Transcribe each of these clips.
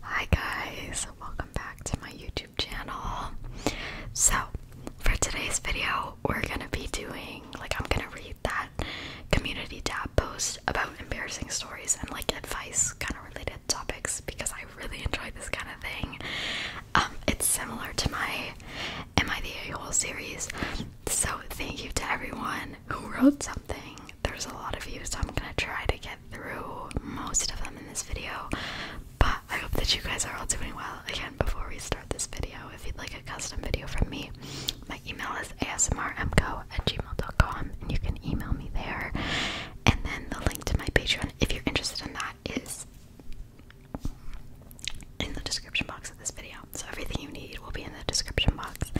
Hi guys, welcome back to my YouTube channel. So, for today's video, we're gonna be doing like, I'm gonna read that community tab post about embarrassing stories and like advice kind of related topics because I really enjoy this kind of thing. Um, it's similar to my Am I the A-Hole series. So, thank you to everyone who wrote something. There's a lot of you, so I'm gonna try to get through most of them in this video. But I hope that you guys are all doing well. Again, before we start this video, if you'd like a custom video from me, my email is asmrmco at gmail.com and you can email me there. And then the link to my Patreon, if you're interested in that, is in the description box of this video. So everything you need will be in the description box.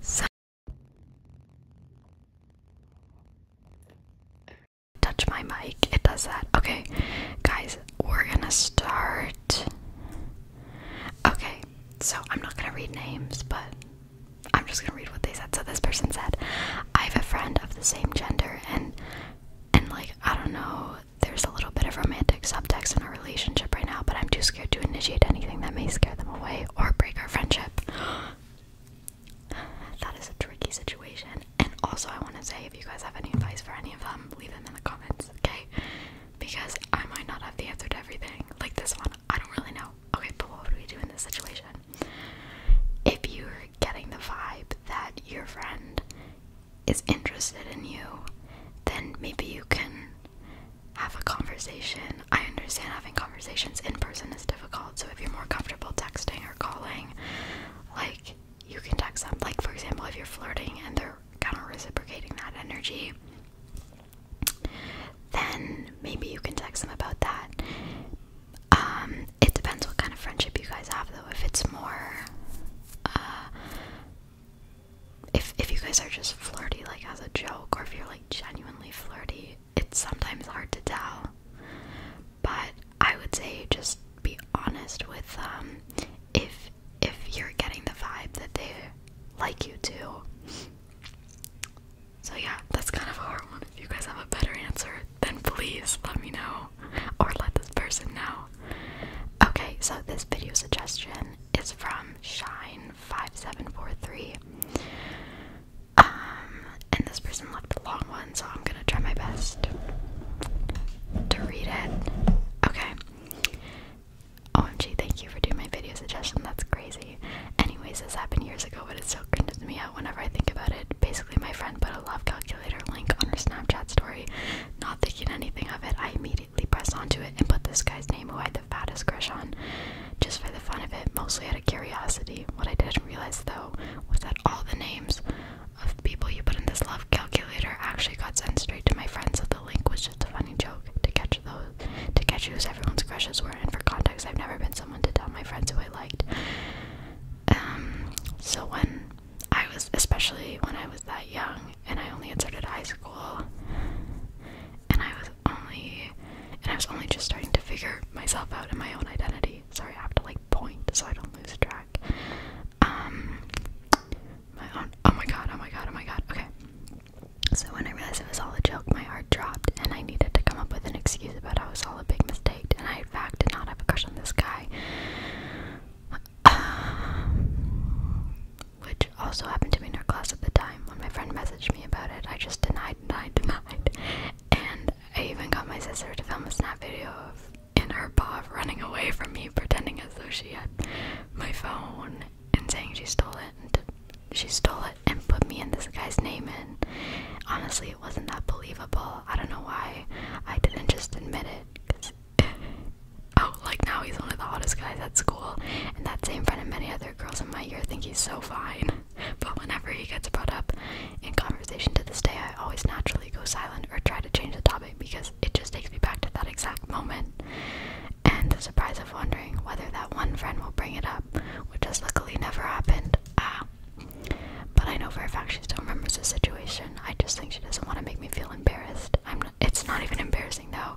So Touch my mic, it does that. Okay, guys, we're gonna start. Okay, so I'm not gonna read names, but I'm just gonna read what they said. So this person said, I have a friend of the same gender, and and like I don't know, there's a little bit of romantic subtext in our relationship right now, but I'm too scared to initiate anything that may scare them away or break our friendship that is a tricky situation. And also, I want to say if you guys have any advice for any of them, leave them in the comments, okay? Because I might not have the answer to everything. Like this one, I don't really know. Okay, but what would we do in this situation? If you're getting the vibe that your friend is interested in you, then maybe you can have a conversation I understand having conversations in person is difficult, so if you're more comfortable texting or calling, like you can text them. Like, for example, if you're flirting and they're kind of reciprocating that energy, then maybe you can text them about that. Um, it depends what kind of friendship you guys have, though. If it's more, uh, if if you guys are just flirty, like as a joke, or if you're like genuinely flirty, it's sometimes hard to tell. But I would say just be honest with them um, if if you're getting the vibe that they like you too. So yeah, that's kind of a hard one. If you guys have a better answer, then please let me know or let this person know. Okay, so this video suggestion is from Shine5743. Um, and this person left a long one, so I'm gonna try my best to read it. Okay. OMG, thank you for doing my video suggestion. That's crazy. Anyways, this happened years ago, but it still cringes me out whenever I think about it. Basically, my friend put a love calculator link on her Snapchat story. Not thinking anything of it, I immediately pressed onto it and put this guy's name who I had the fattest crush on just for the fun of it, mostly out of curiosity. What I didn't realize though was that all the names of people you put in this love calculator actually got sent straight to my friends, so the link was just a funny joke to catch those to catch whose everyone's crushes were. And for context, I've never been someone to tell my friends who I liked. Um, so when I was, especially when I was that young, and I only started high school, and I was only and I was only just starting to figure myself out and my own identity. Sorry, I have to like point so I don't lose track. Um, my own. Oh my god! Oh my god! Oh my god! Okay. So when I realized it was all a joke, my heart dropped, and I needed to come up with an excuse about how it was all a big mistake, and I in fact did not have a crush on this guy. which also happened to me in our class at the time. When my friend messaged me about it, I just denied, denied, denied. And I even got my sister to film a snap video of in her paw running away from me, pretending as though she had my phone and saying she stole it. And she stole it and put me in this guy's name And Honestly, it wasn't that believable. I don't know why I didn't just admit it. oh, like now he's one of the hottest guys at school, and that same friend of many other girls in my year think he's so fine but whenever he gets brought up in conversation to this day, I always naturally go silent or try to change the topic because it just takes me back to that exact moment. And the surprise of wondering whether that one friend will bring it up, which has luckily never happened. Ah. But I know for a fact she still remembers the situation. I just think she doesn't want to make me feel embarrassed. I'm it's not even embarrassing though.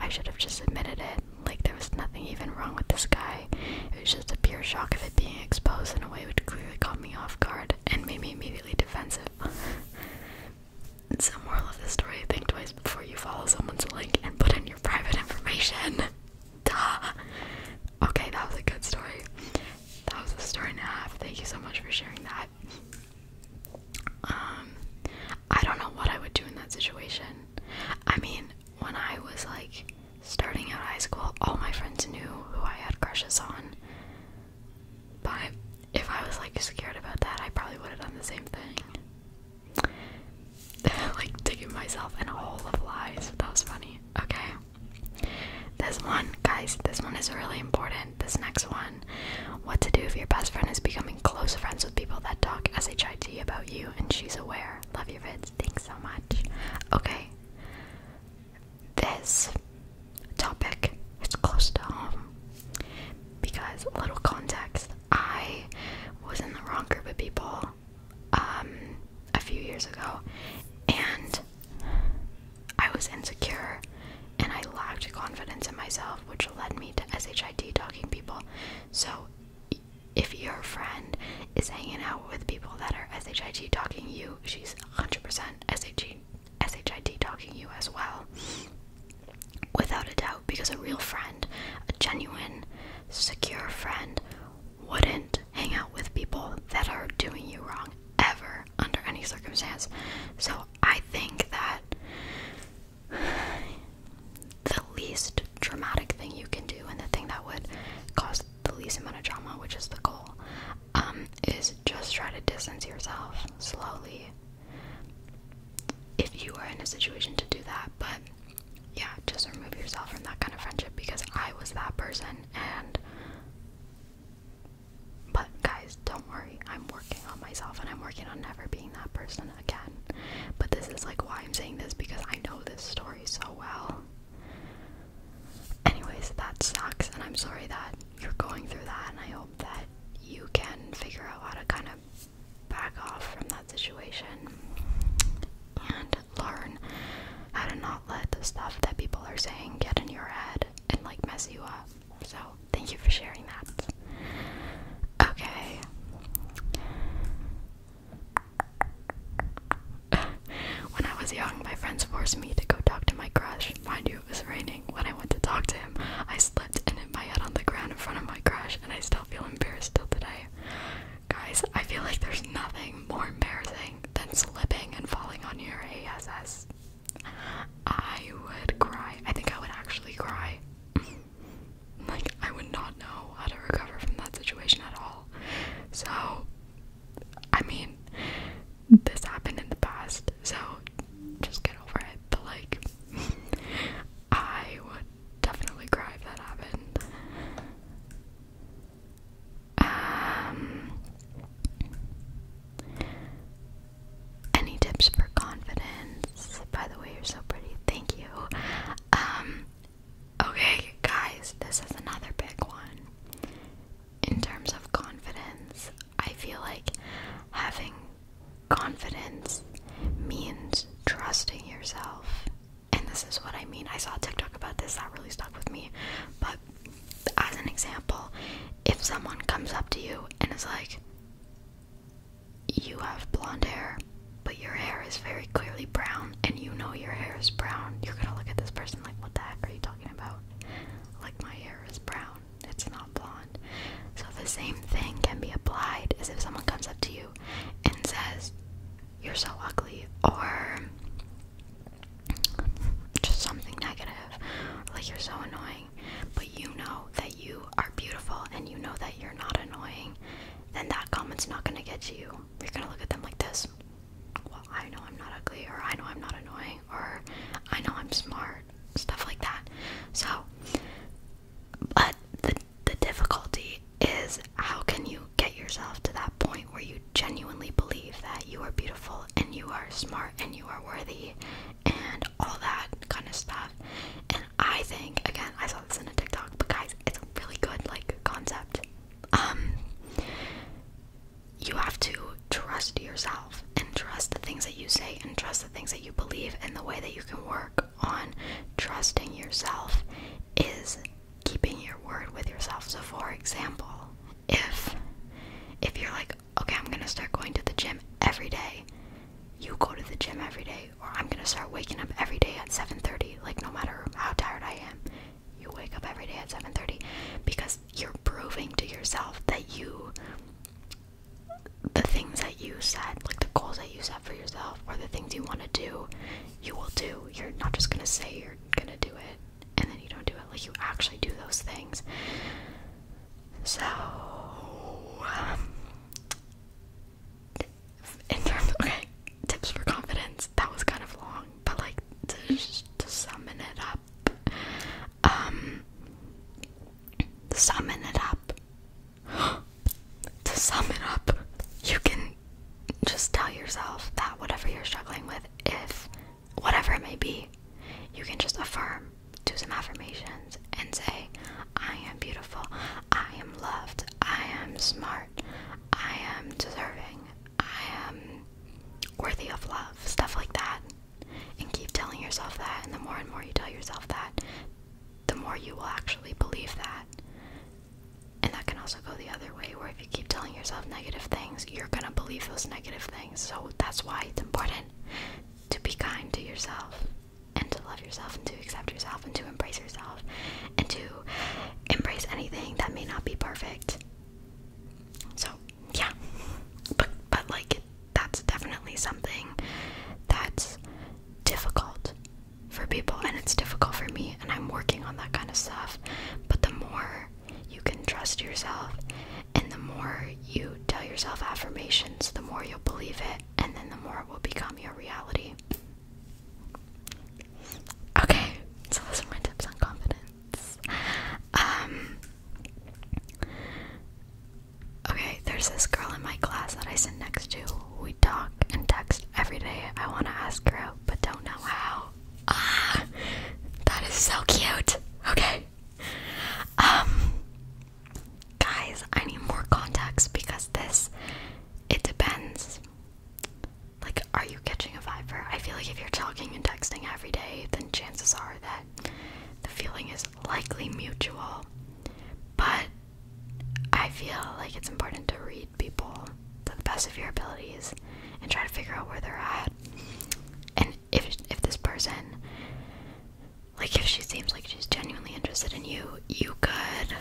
I should have just admitted it. Like there was nothing even wrong with this guy. It was just a pure shock of it being exposed in a way which clearly caught me off guard and made me immediately defensive. it's the moral of the story, think twice before you follow someone's link and put in your private information. Duh. Okay, that was a good story. That was a story and a half. Thank you so much for sharing that. Um, I don't know what I would do in that situation. I mean, when I was like starting out high school, all my friends knew who I had crushes on. But if I was like scared about that, I probably would have done the same thing. like digging myself in a hole of lies. That was funny. Okay. This one, guys, this one is really important. This next one. What to do if your best friend is becoming close friends with people that talk SHIT about you and she's aware. Love your vids. Thanks so much. Okay, this topic is close to home. Because, little context, I was in the wrong group of people um, a few years ago, and I was insecure and I lacked confidence in myself, which led me to SHID talking people. So, if your friend is hanging out with people that are SHIT talking you, she's 100% SHIT, SHIT talking you as well. Without a doubt, because a real friend, a genuine, secure friend, wouldn't hang out with people that are doing you wrong ever under any circumstance. So I think that the least dramatic thing you can do and the thing that would cause the least amount of drama, which is the goal, um, is just try to distance yourself slowly if you are in a situation to do that. But yeah, just remove yourself from that kind of friendship because I was that person and but guys, don't worry. I'm working on myself and I'm working on never being that person again. But this is like why I'm saying this because I know this story so well. Anyways, that sucks, and I'm sorry that you're going through that, and I hope that you can figure out how to kind of back off from that situation and learn how to not let the stuff that people are saying get in your head and like mess you up. So, thank you for sharing that. Okay when I was young, my friends forced me to go talk to my crush. Mind you, it was raining. When I went to talk to him, I slipped and hit my head on the ground in front of my crush, and I still feel embarrassed till today. Guys, I feel like there's nothing more embarrassing than slipping and falling on your ass. I would cry. I think I would actually cry. like, I would not know how to recover from that situation at all. So, I mean, this happened in the past, so just get over it. But like, I would definitely cry if that happened. Um, any tips for confidence? By the way, you're so pretty. Thank you. Um, Okay, guys, this is another big one. In terms of confidence, I feel like having confidence means trusting yourself. And this is what I mean. I saw TikTok about this that really stuck with me. But as an example, if someone comes up to you and is like, you have blonde hair, but your hair is very clearly brown and you know your hair is brown, you're gonna look at this person like, what the heck are you talking about? Like, my hair is brown, it's not blonde. So, the same thing can be applied as if someone comes up to you and says, You're so ugly, or just something negative, like, You're so annoying, but you know that you are beautiful and you know that you're not annoying, then that comment's not gonna get you you're gonna look at them like this. Well, I know I'm not ugly, or I know I'm not annoying, or I know I'm smart, stuff like that. So, but the, the difficulty is how can you get yourself to that point where you genuinely believe that you are beautiful and you are smart and you are worthy and all that kind of stuff. And I think, again, I saw this in a TikTok, but guys, it's a really good like concept. Um, you have to trust yourself and trust the things that you say and trust the things that you believe and the way that you can work on trusting yourself is keeping your word with yourself so for example if if you're like okay i'm gonna start going to the gym every day you go to the gym every day or i'm gonna start waking up every day at 7.30 like no matter how tired i am you wake up every day at 7:30 because you're proving to yourself that you the things that you said, like the goals that you set for yourself or the things you want to do, you will do. You're not just going to say you're going to do it and then you don't do it. Like you actually do those things. So um, okay, tips for confidence that was kind of long, but like to to summon it up, um, summon it up, to sum it up, you can just tell yourself that whatever you're struggling with, if whatever it may be, you can just affirm, do some affirmations, and say, I am beautiful, I am loved, I am smart, I am deserving, I am um, worthy of love, stuff like that. And keep telling yourself that, and the more and more you tell yourself that, the more you will actually believe that. And that can also go the other way, where if you keep telling yourself negative things, you're gonna believe those negative things. So that's why it's important to be kind to yourself, and to love yourself, and to accept yourself, and to embrace yourself, and to embrace anything that may not be perfect. So yeah, but but like that's definitely something that's difficult for people, and it's difficult for me, and I'm working on that kind of stuff. But the more you can trust yourself, and the more you tell yourself affirmations, the more you'll believe it, and then the more it will become your reality. Okay, so those are my tips on confidence. Um, okay, there's this girl in my class that I sit next to. We talk and text every day. I wanna ask her out, but don't know how. Ah that is so cute. Okay. Um guys, I need more context because this it depends. Like, are you catching a viper? I feel like if you're talking and texting every day, then chances are that the feeling is likely mutual. But I feel like it's important to read people to the best of your abilities and try to figure out where they're at. And if if this person, like, if she seems like she's genuinely interested in you, you could.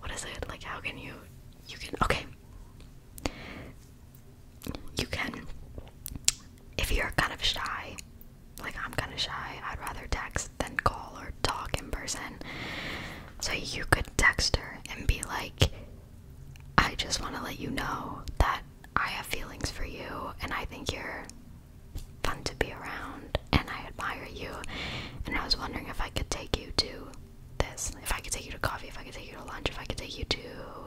What is it? Like, how can you? You can. Okay you can if you're kind of shy like i'm kind of shy i'd rather text than call or talk in person so you could text her and be like i just want to let you know that i have feelings for you and i think you're fun to be around and i admire you and i was wondering if i could take you to this. If I could take you to coffee, if I could take you to lunch, if I could take you to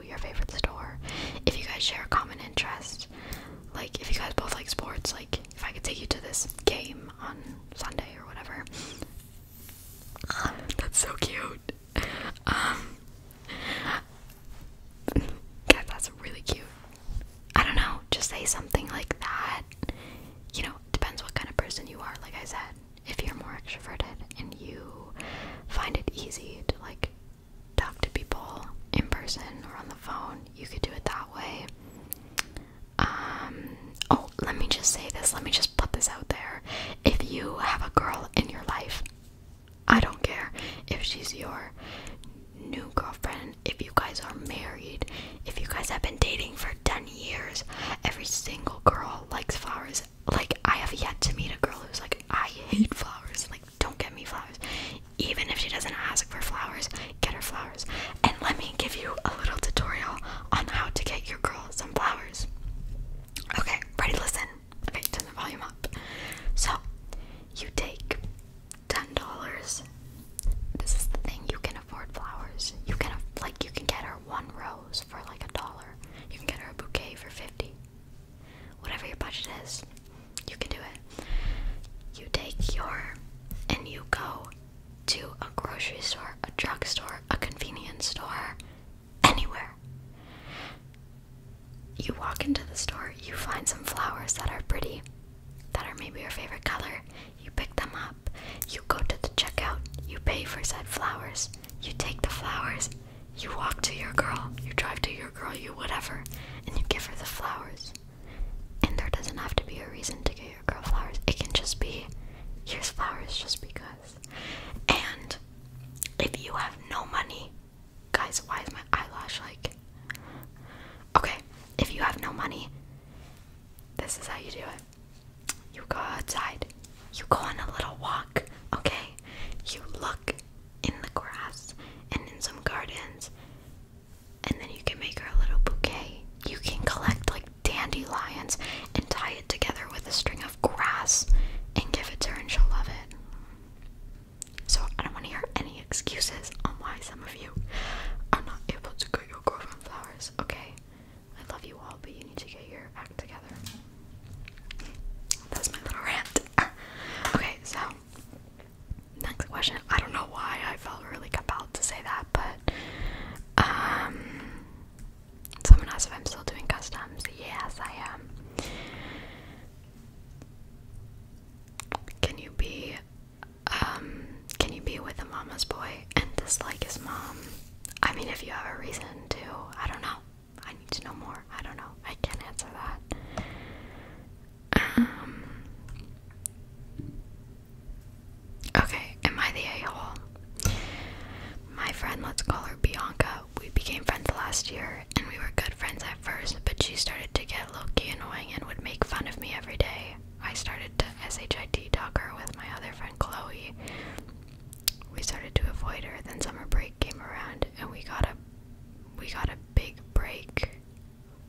your favorite store, if you guys share a common interest, like if you guys both like sports, like if I could take you to this game on Sunday or whatever. That's so cute. Um, that's really cute. I don't know, just say something like that. You know, depends what kind of person you are, like I said if you're more extroverted and you find it easy to like talk to people in person or on the phone, you could do it that way. Um, oh, let me just say this, let me just put this out there. If you have a girl in your life, I don't care if she's your new girlfriend, if you guys are married, if you guys have been dating for 10 years, every single girl likes flowers like I have yet to meet a girl who's like, I hate flowers. Like, don't get me flowers. Even if she doesn't ask for flowers, get her flowers. And let me give you a little tutorial on how to get your girl some flowers. Okay, ready? Listen. Okay, turn the volume up. So, you take ten dollars. This is the thing. You can afford flowers. You can like you can get her one rose for like a dollar. You can get her a bouquet for fifty whatever your budget is, you can do it. You take your and you go to a grocery store, a drug store, a convenience store, anywhere. You walk into the store, you find some flowers that are pretty, that are maybe your favorite color. You pick them up, you go to the checkout, you pay for said flowers, you take the flowers, you walk to your girl, you drive to your girl, you whatever, and you give her the flowers. And there doesn't have to be a reason to get your girl flowers. It can just be, here's flowers just because. And if you have no money, guys, why is my eyelash like. Okay, if you have no money, this is how you do it. You go outside, you go on a little walk, okay? You look in the grass and in some gardens, and then you can make her a little bouquet. You can collect like dandelions and tie it together with a string of grass and give it to her, and she'll love it. So, I don't want to hear any excuses on why some of you are not able to get your girlfriend flowers, okay? I love you all, but you need to get your act together. That's my little rant. okay, so next question. I don't know why I felt really compelled to say that, but um, someone asked if I'm still doing customs. Yes, I am. Can you be um, can you be with a mama's boy and dislike his mom? I mean if you have a reason to, I don't know. I need to know more. I don't know. I can't answer that. Um. Okay, am I the a hole? My friend, let's call her Bianca. We became friends last year and we were good friends at first, but she started to get low key annoying and would make fun of me every day. I started to SHIT talk her with my other friend Chloe we started to avoid her. Then summer break came around, and we got a we got a big break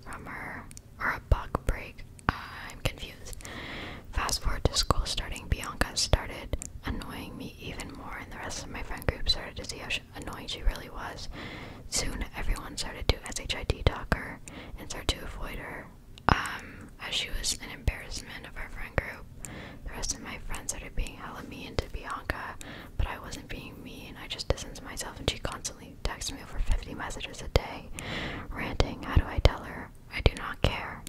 from her, or a buck break. I'm confused. Fast forward to school starting, Bianca started annoying me even more, and the rest of my friend group started to see how annoying she really was. Soon, everyone started to SHID talk her and start to avoid her, um, as she was an embarrassment of our friend group. The rest of my friends started being hella mean to Bianca, but I wasn't being mean. I just distanced myself, and she constantly texts me over 50 messages a day, ranting. How do I tell her? I do not care.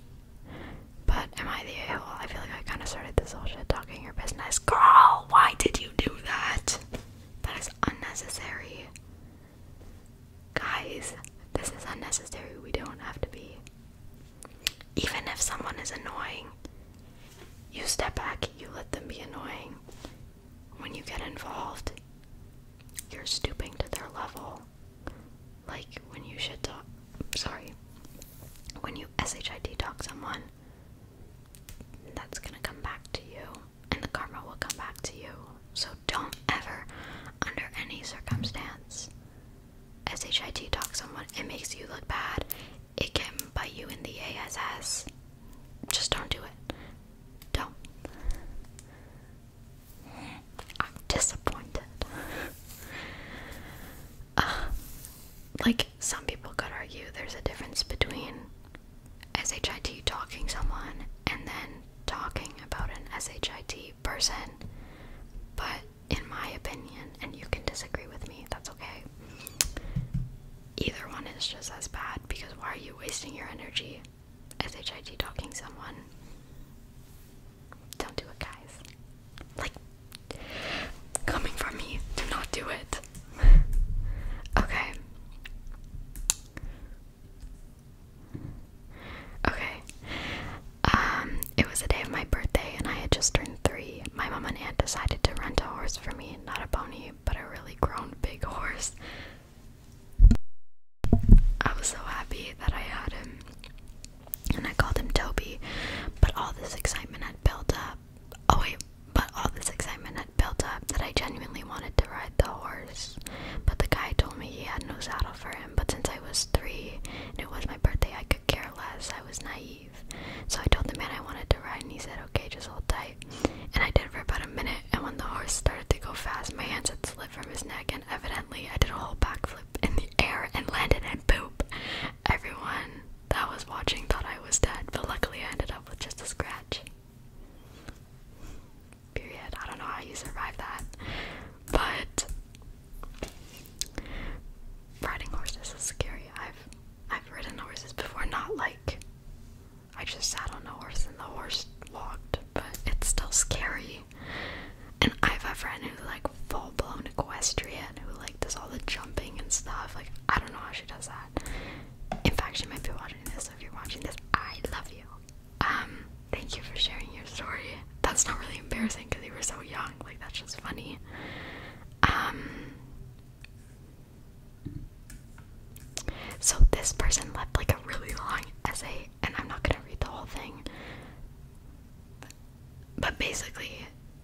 But am I the a hole? I feel like I kind of started this whole shit talking your business. Girl, why did you do that? That is unnecessary. Guys, this is unnecessary. We don't have to be even if someone is annoying, you step back, you let them be annoying. When you get involved, you're stooping to their level. Like when you should talk, sorry, when you SHID talk someone, that's gonna come back to you, and the karma will come back to you. So don't ever, under any circumstance, SHIT talk someone. It makes you look bad, it can bite you in the ass. Just don't do it. Don't. I'm disappointed. uh, like, some people could argue there's a difference between SHIT talking someone and then talking about an SHIT person, but in my opinion, and you can disagree with me, that's okay. Either one is just as bad because why are you wasting your energy as HIT talking someone? Don't do it, guys. Like, coming from me, do not do it. okay. Okay. Um, it was the day of my birthday and I had just turned three my mom and aunt decided to rent a horse for me, not a pony, but a really grown big horse. I was so happy that I had him, and I called him Toby. But all this excitement had built up. Oh, wait, but all this excitement had built up that I genuinely wanted to ride the horse. But the guy told me he had no saddle for him. But since I was three and it was my birthday, I could care less. I was naive. So I told the man I wanted to ride, and he said, Okay, just hold tight. And I did for about a minute, and when the horse started to go fast, my hands had slid from his neck, and evidently I did a whole backflip in the air and landed And poop. Everyone that was watching thought I was dead, but luckily I ended up with just a scratch. Period. I don't know how you survived that. But riding horses is scary. I've I've ridden horses before, not like I just sat on a horse and the horse walked, but it's still scary. And I have a friend who's like full blown equestrian who like does all the jumping and stuff. Like, I don't know how she does that. In fact, she might be watching this, so if you're watching this, I love you. Um, thank you for sharing your story. That's not really embarrassing because you were so young, like, that's just funny. Um, so this person left like a really long essay, and I'm not gonna read the whole thing. But basically,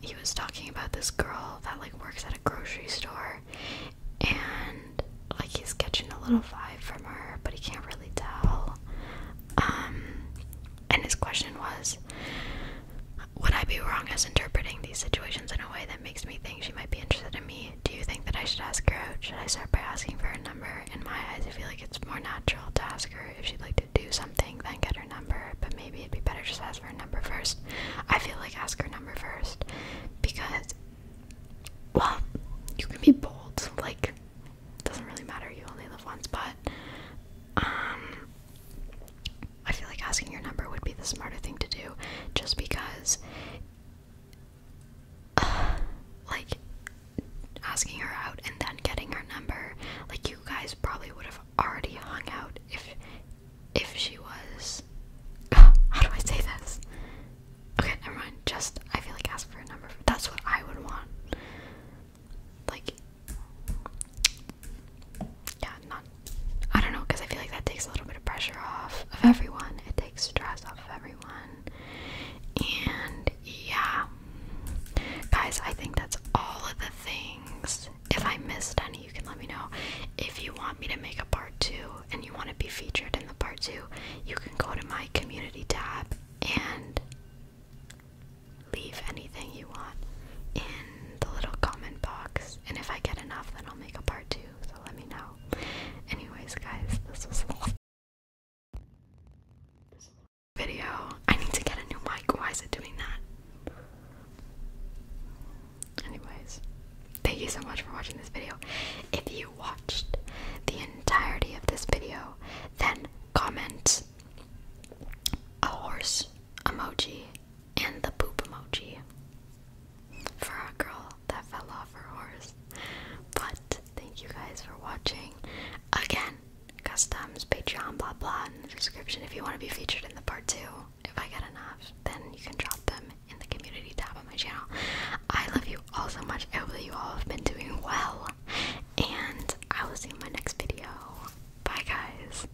he was talking about this girl that like works at a grocery store, and like he's catching a little vibe from her, but he can't really tell. Um, and his question was, would I be wrong as interpreting these situations in a way that makes me think she might be interested in me? Do you think that I should ask her out? Should I start by asking for her number? In my eyes, I feel like it's more natural to ask her if she'd like to do something than get her number, but maybe it'd be better just ask for her number first. I feel like ask her number first because, well, you can be bold, like, doesn't really matter, you only live once, but, um, I feel like asking your number would be the smarter thing to do just because like asking her out and then getting her number like you guys probably would have already hung out if if she was how do I say this? Okay, never mind. Just I feel like ask for a number. That's what I would want. Like yeah, not. I don't know, because I feel like that takes a little bit of pressure off of everyone. It takes stress off of everyone. And yeah, guys, I think that's all of the things. If I missed any, you can let me know. If you want me to make a part two and you want to be featured in the part two, you can go to my community tab and leave anything you want in the little comment box. And if I get enough, then I'll make a part two. So let me know. Anyways, guys, this was this video. I need to get a new mic. Why is it doing that? Anyways, thank you so much for watching this video. If you watched the entirety of this video, then comment a horse emoji and the poop emoji for a girl that fell off her horse. But thank you guys for watching. Again, customs, Patreon, blah blah in the description if you want to be featured in the part two. If I get enough, then you can drop them in the community tab on my channel. I love you all so much. I hope that you all have been doing well. And I will see you in my next video. Bye guys.